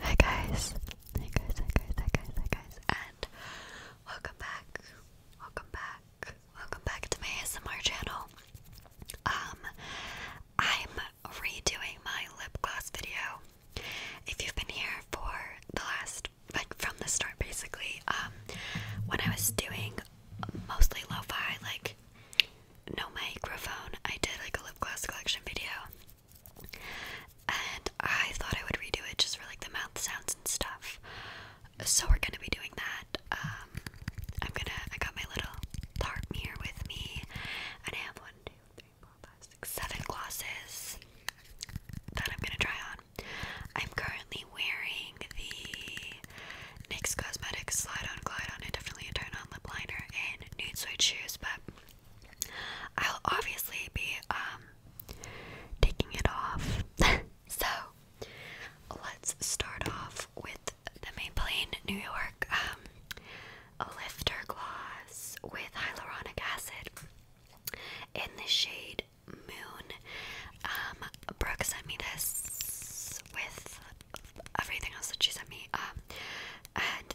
Hi guys. Hi guys, hi guys, hi guys, and welcome back. Welcome back. Welcome back to my ASMR channel. Um I'm redoing my lip gloss video. If you've been here for the last like from the start basically, um when I was doing mostly lo-fi like no microphone, I did like a lip gloss collection video. And I thought I would redo it just for like the mouth sounds and stuff. So we're gonna be doing that. Um, I'm gonna. I got my little dart mirror with me, and I have one, two, three, four, five, six, seven glosses that I'm gonna try on. I'm currently wearing the NYX Cosmetics Slide On Glide On Indefinitely Turn On Lip Liner in Nude Suede Shoes, but I'll obviously be um, taking it off. so let's start off with the Maybelline New York um lifter gloss with hyaluronic acid in the shade Moon. Um Brooke sent me this with everything else that she sent me. Um,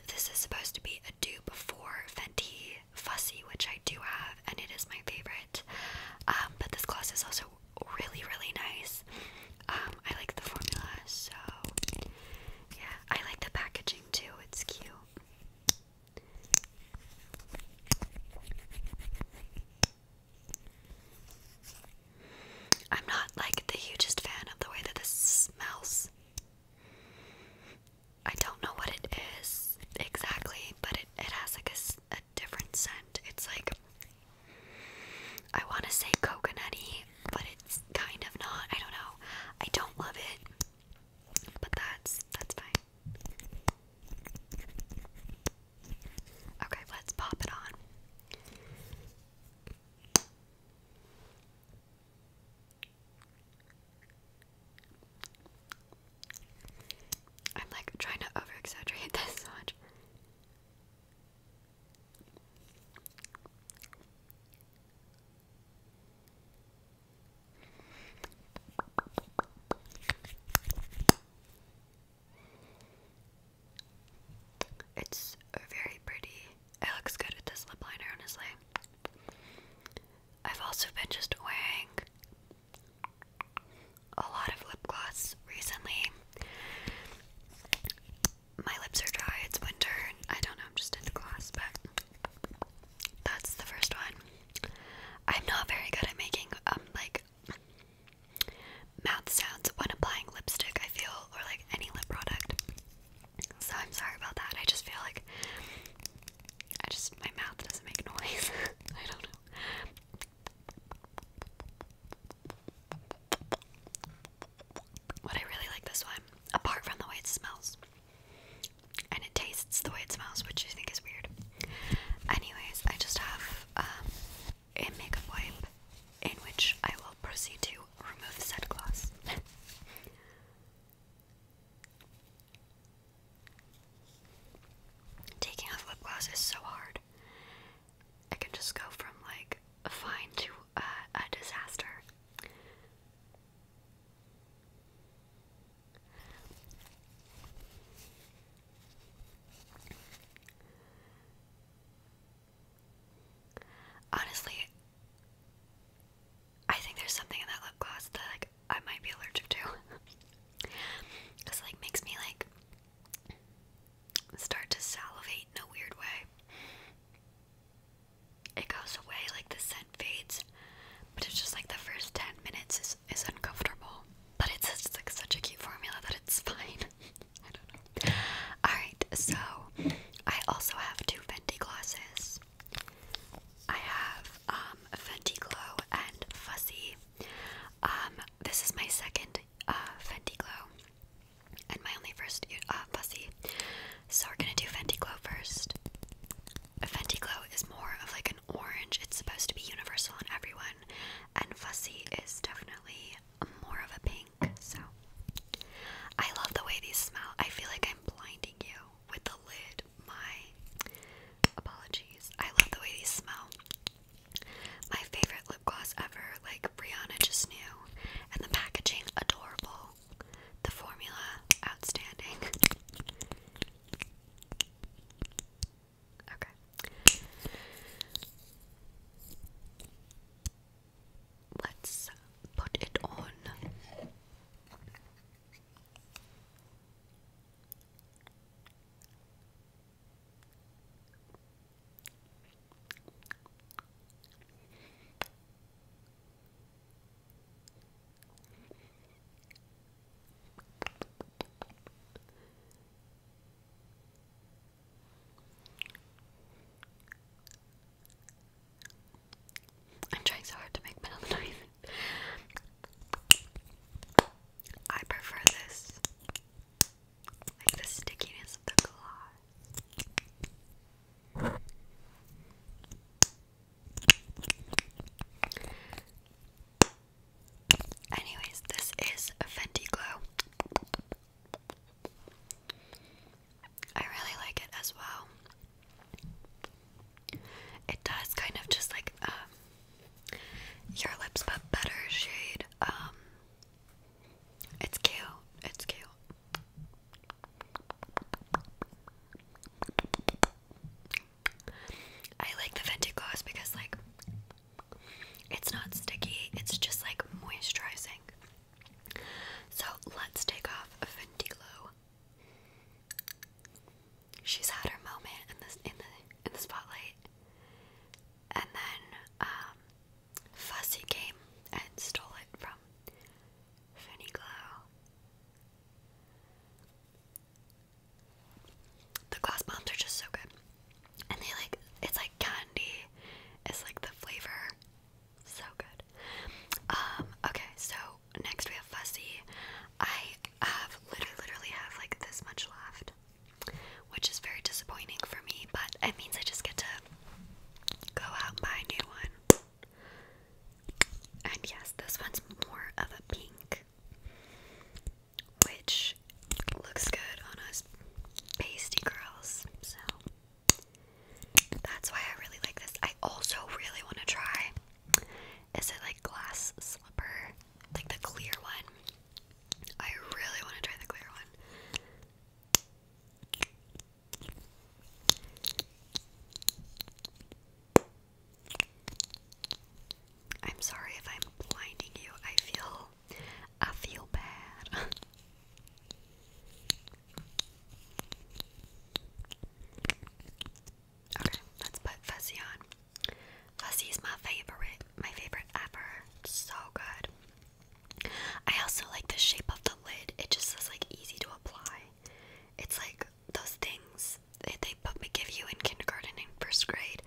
this is supposed to be a dupe for Fenty Fussy, which I do have, and it is my favorite. Um, but this gloss is also really, really nice. Um, I like the formula, so yeah, I like the packaging too, it's cute. I'm not like the hugest fan of the way that this smells. I don't know what it is exactly, but it, it has like a, different scent. It's like, I want to say coconutty, but it's kind of not. I don't know. I don't love it, but that's, that's fine. Okay, let's pop it on. I'm like trying to over exaggerate this so much. It's very pretty. It looks good with this lip liner, honestly. I've also been just wearing a lot of lip gloss recently. My lips are dry, it's winter, I don't know, I'm just in the gloss, but that's the first one. I'm not very good at making, um, like, mouth sounds when applying lipstick, I feel, or like any lip product. So I'm sorry about that. I just feel like I just my mouth doesn't make noise. I don't know. But I really like this one, apart from the way it smells. And it tastes the way it smells, which I think is weird. Anyways, I just have um, a makeup wipe in which I will proceed to remove said gloss. Taking off lip gloss is so hard. I can just go from like fine to a disaster. Honestly, I think there's something in that lip gloss that like I might be allergic to. Cause it, like makes me like start to salivate in a weird way. It goes away, like the scent fades, but it's just like the first ten minutes is, is uncomfortable. But it's just like such a cute formula that it's fine. Alright, so I also have two Fenty glosses. I have um, Fenty Glow and Fussy. Um, this is my second uh, Fenty Glow and my only first uh, Fuzzy. So we're gonna do Fenty Glow first. Fenty Glow is more of like an orange. It's supposed to be universal on everyone, and Fussy is definitely more of a pink so. I love the way these smell. I feel like I'm blinding you with the lid. My apologies. I love the way these smell. My favorite lip gloss ever. Like Brianna just knew. And the packaging, adorable. The formula, outstanding. Okay let's put it on. I'm trying so hard to make metal noise. I prefer this. Like the stickiness of the gloss. Anyways, this is a Glow. I really like it as well. It does kind of just like um, your lips, but better shade. Um, it's cute. It's cute. I like the Fenty gloss because like it's not sticky. It's just like moisturizing. So let's take off Ventilo. She's had her moment in this in the in the spotlight. And then um Fussy came and stole it from Finny Glow. The glass bombs are just so good. And they like it's like candy. It's like the flavor so good. Um, okay, so next we have Fussy. I have literally, literally have like this much left, which is very disappointing for me, but it means I just get to go out and buy a new one. And yes, this one's more of a pink, which looks good on us pasty girls. So that's why I really like this. I also really want to try. Is it like glass slipper? Like the clear one. I really want to try the clear one. I'm sorry if I'm blinding you. I feel I feel bad. okay, let's put Fuzzy on. Fuzzy is my favorite, my favorite ever. so good. I also like the shape of the lid. It just is like easy to apply. It's like those things that they, they give you in kindergarten and first grade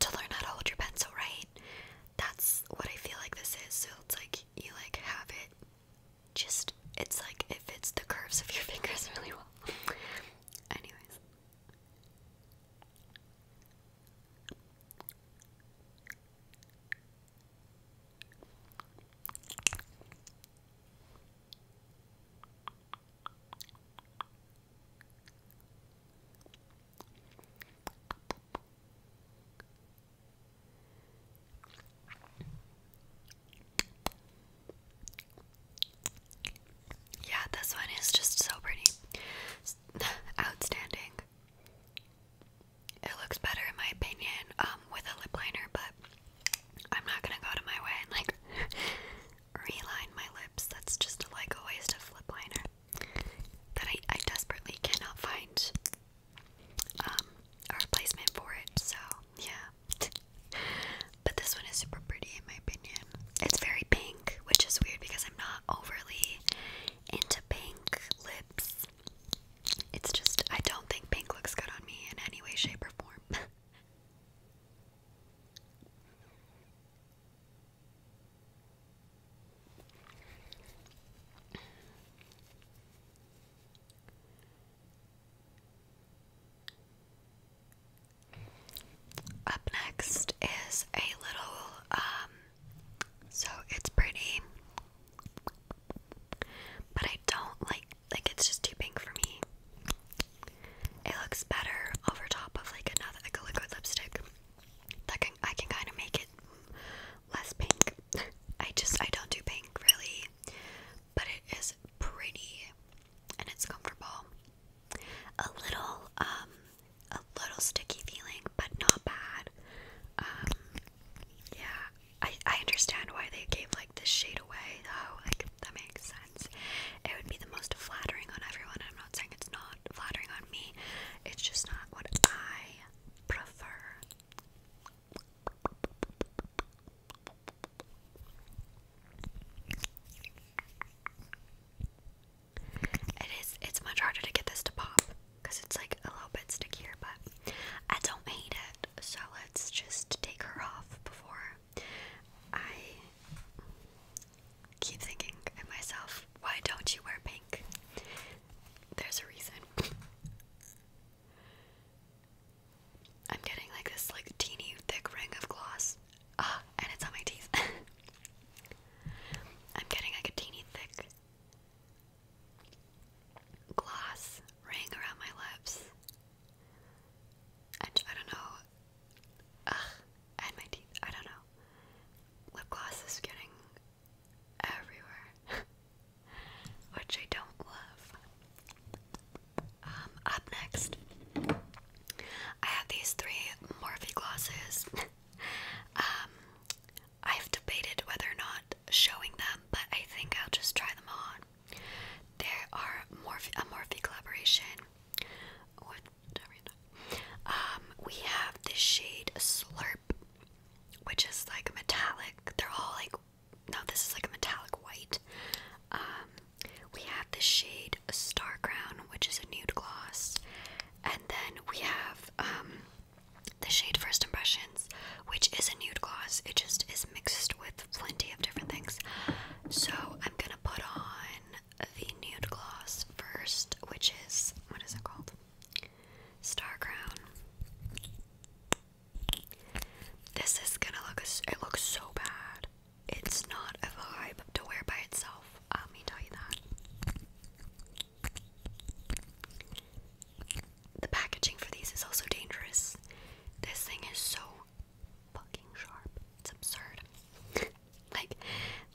to learn how to hold your pencil right that's what I feel like this is. So it's like you like have it just it's like it fits the curves of your fingers really well. Anyways. Yeah, this one is just so pretty. Outstanding. It looks better in my opinion um with a lip liner, but I'm not going to go to my way and like reline my lips. That's just like a waste of lip liner that I, I desperately cannot find um, a replacement for it. So yeah, but this one is super pretty in my opinion. It's very pink, which is weird because I'm not overly into pink lips. It's just I don't think pink looks good on me in any way, shape, or form. Up next is a little, um, so it's pretty, but I don't like, like it's just too pink for me. It looks better over top of like another, like a liquid lipstick that can I can kind of make it less pink. I just I don't do pink really, but it is pretty and it's comfortable. A little um a little sticky feeling, but not bad. Um, yeah, I I understand why they gave like this shade away though. Like that makes sense. It would be the most flattering on everyone. I'm not saying it's not flattering on me. It's just not what I prefer. It is it's much harder to get this to pop because it's like a little bit stickier, but I don't hate it. So let's just take her off before I keep thinking in myself, why don't you wear pink? There's a reason. I'm getting like this like teeny thick ring of gloss. Ah, and it's on my teeth. I'm getting like a teeny thick gloss ring around my lips. And I don't know. Ugh, and my teeth. I don't know. Lip gloss is getting everywhere, which I don't love. Um, up next, I have these three Morphe glosses. um, I've debated whether or not showing them, but I think I'll just try them on. There are Morphe, a Morphe collaboration with um, we have this shade Slurp, which is like metallic. They're all like, no, this is like a metallic white. Um, we have this shade Star Crown, which is a nude gloss. And then we have um, the shade First Impressions, which is a nude gloss. It just is mixed with plenty of different things. So I'm gonna put on the nude gloss first, which is what is it called? Star Crown. This is gonna look, it looks so bad. It's not a vibe to wear by itself, let me tell you that. The packaging for these is also dangerous. This thing is so fucking sharp. It's absurd. like,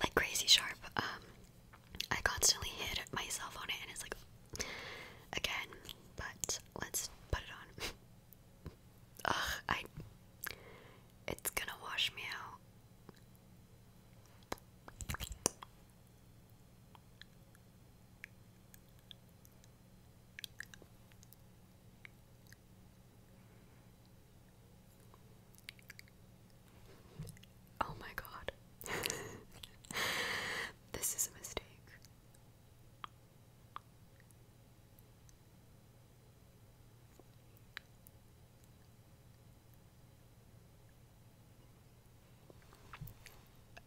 like crazy sharp. Um, I constantly hit myself on it and it's like again, but let's put it on. Ugh, I it's gonna wash me out. Oh my god. this is a mistake.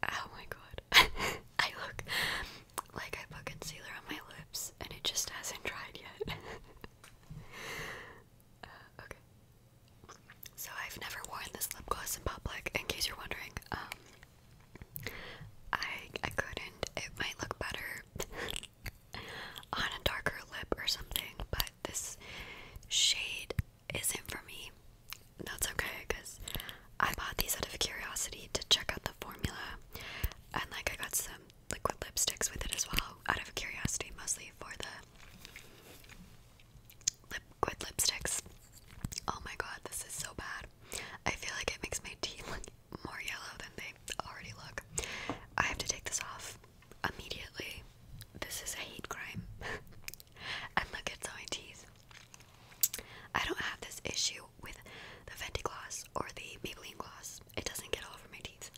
Oh my god. I look like I put concealer on my lips and it just hasn't dried yet. Uh, okay. So I've never worn this lip gloss in public, in case you're wondering. Um, I I couldn't. It might look better on a darker lip or something, but this shade isn't for me. That's okay, cause I bought these out of curiosity to check out the formula, and like I got some liquid lipsticks with it as well, out of curiosity, mostly for the liquid lipsticks. Oh my god, this is so bad. I feel like it makes my teeth look more yellow than they already look. I have to take this off immediately. This is a hate crime. and look, it's on my teeth. I don't have this issue with the Fenty gloss or the Maybelline gloss. It doesn't get all over my teeth.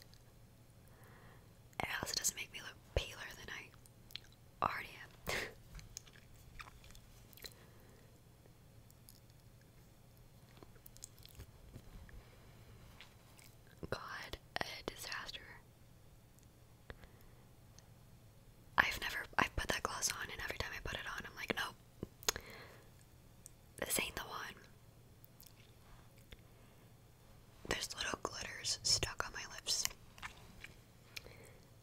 It also doesn't make me look paler than I already am. God, a disaster. I've never, i put that gloss on, and every time I put it on, I'm like, nope, this ain't the one. There's little glitters stuck on my lips.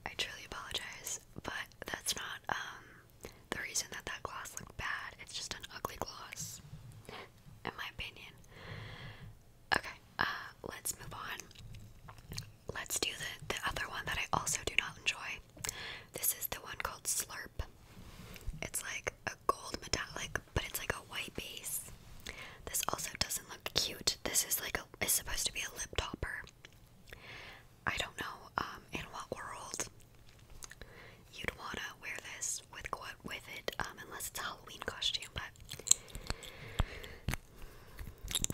I truly apologize, but that's not um the reason that that gloss looked bad. It's just an ugly gloss, in my opinion. Okay, uh, let's move on. Let's do the the other one that I also do not enjoy. This is the one called Slurp. It's like a gold metallic black, but it's like a white base. This also doesn't look cute. This is like a is supposed to be a lip topper. I don't know um, in what world you'd wanna wear this with what with it, um, unless it's a Halloween costume. But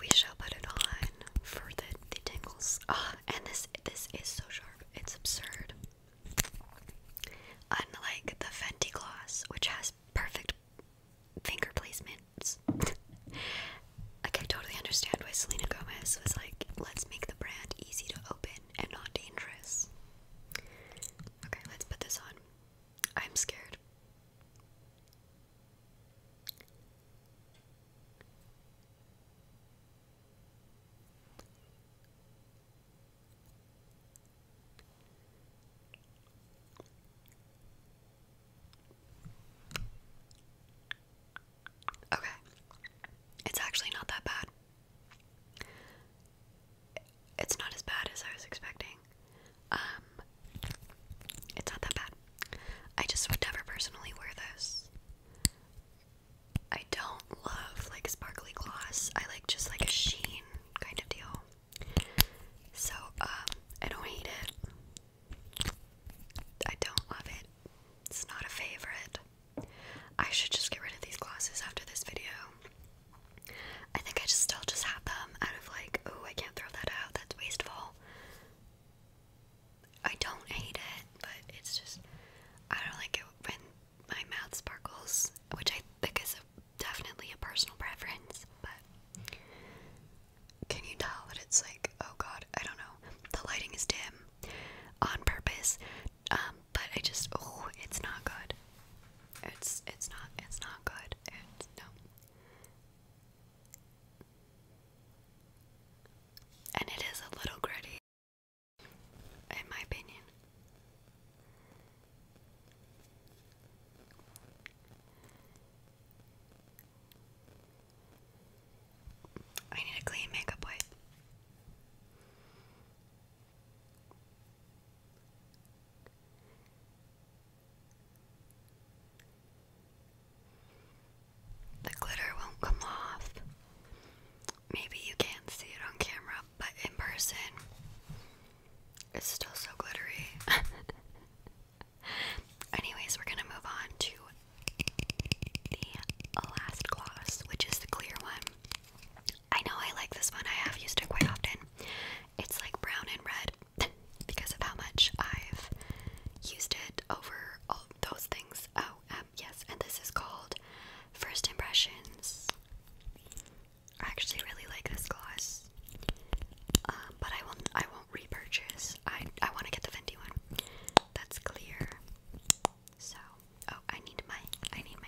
we shall put it on for the, the tingles. Ah, and this this is so sharp. It's absurd. Unlike the Fenty gloss, which has perfect finger placements. like, I totally understand why Selena Gomez was like, let's make the brand easy to open and not dangerous. Okay, let's put this on. I'm scared. Okay. It's actually not that bad. It's not as bad as I was expecting. Um it's not that bad. I just would never personally wear this. I don't love like sparkly gloss. I like just like a sheen kind of deal. So um, I don't hate it. I don't love it. It's not a favorite. I should just get rid of these glosses after this video. I think I just still just have them out of like, oh, I can't throw that out. That's wasteful. I don't hate it, but it's just I don't like it when my mouth sparkles, which I because of definitely a personal preference, but can you tell that it's like, oh god, I don't know. The lighting is dim on purpose. Um, but I just oh, it's not good. It's it's not it's not good. It's no. And it is a little gritty in my opinion. I need a clean makeup wipe. The glitter won't come off maybe you can't see it on camera, but in person, it's still so glittery. Anyways, we're gonna move on to the last gloss, which is the clear one. I know I like this one, I have used it quite often. It's like brown and red because of how much I've used it over all those things. Oh, um, yes, and this is called First Impressions I actually really like this gloss, um, but I won't. I won't repurchase. I I want to get the Fenty one. That's clear. So oh, I need my I need my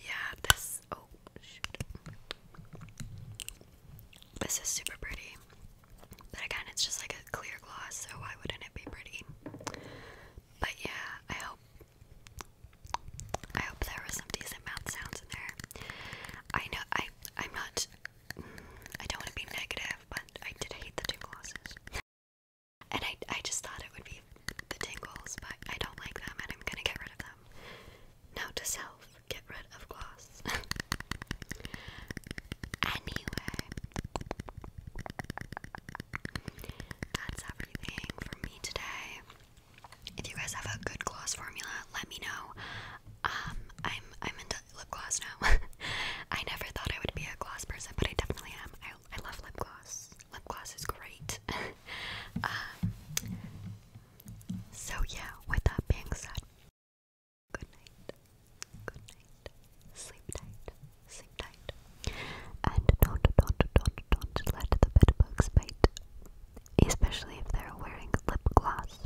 Yeah, this oh This is super pretty. But again, it's just like a clear gloss, so why wouldn't it be pretty? But yeah, I hope I hope there was some decent mouth sounds in there. I know I I'm not I don't want to be negative, but I did hate the tingle losses. And I, I just thought it would be the tingles, but I don't like them and I'm gonna get rid of them. Note to self, get rid of gloss. anyway, that's everything from me today. If you guys have a good gloss formula, let me know. Um, I'm I'm into lip gloss now. I never thought I would be a gloss person, but I definitely am. I, love lip gloss. Lip gloss is great. Um, so yeah, with that being said, good night, good night, sleep tight, sleep tight, and don't, don't, don't, don't let the bed bugs bite, especially if they're wearing lip gloss.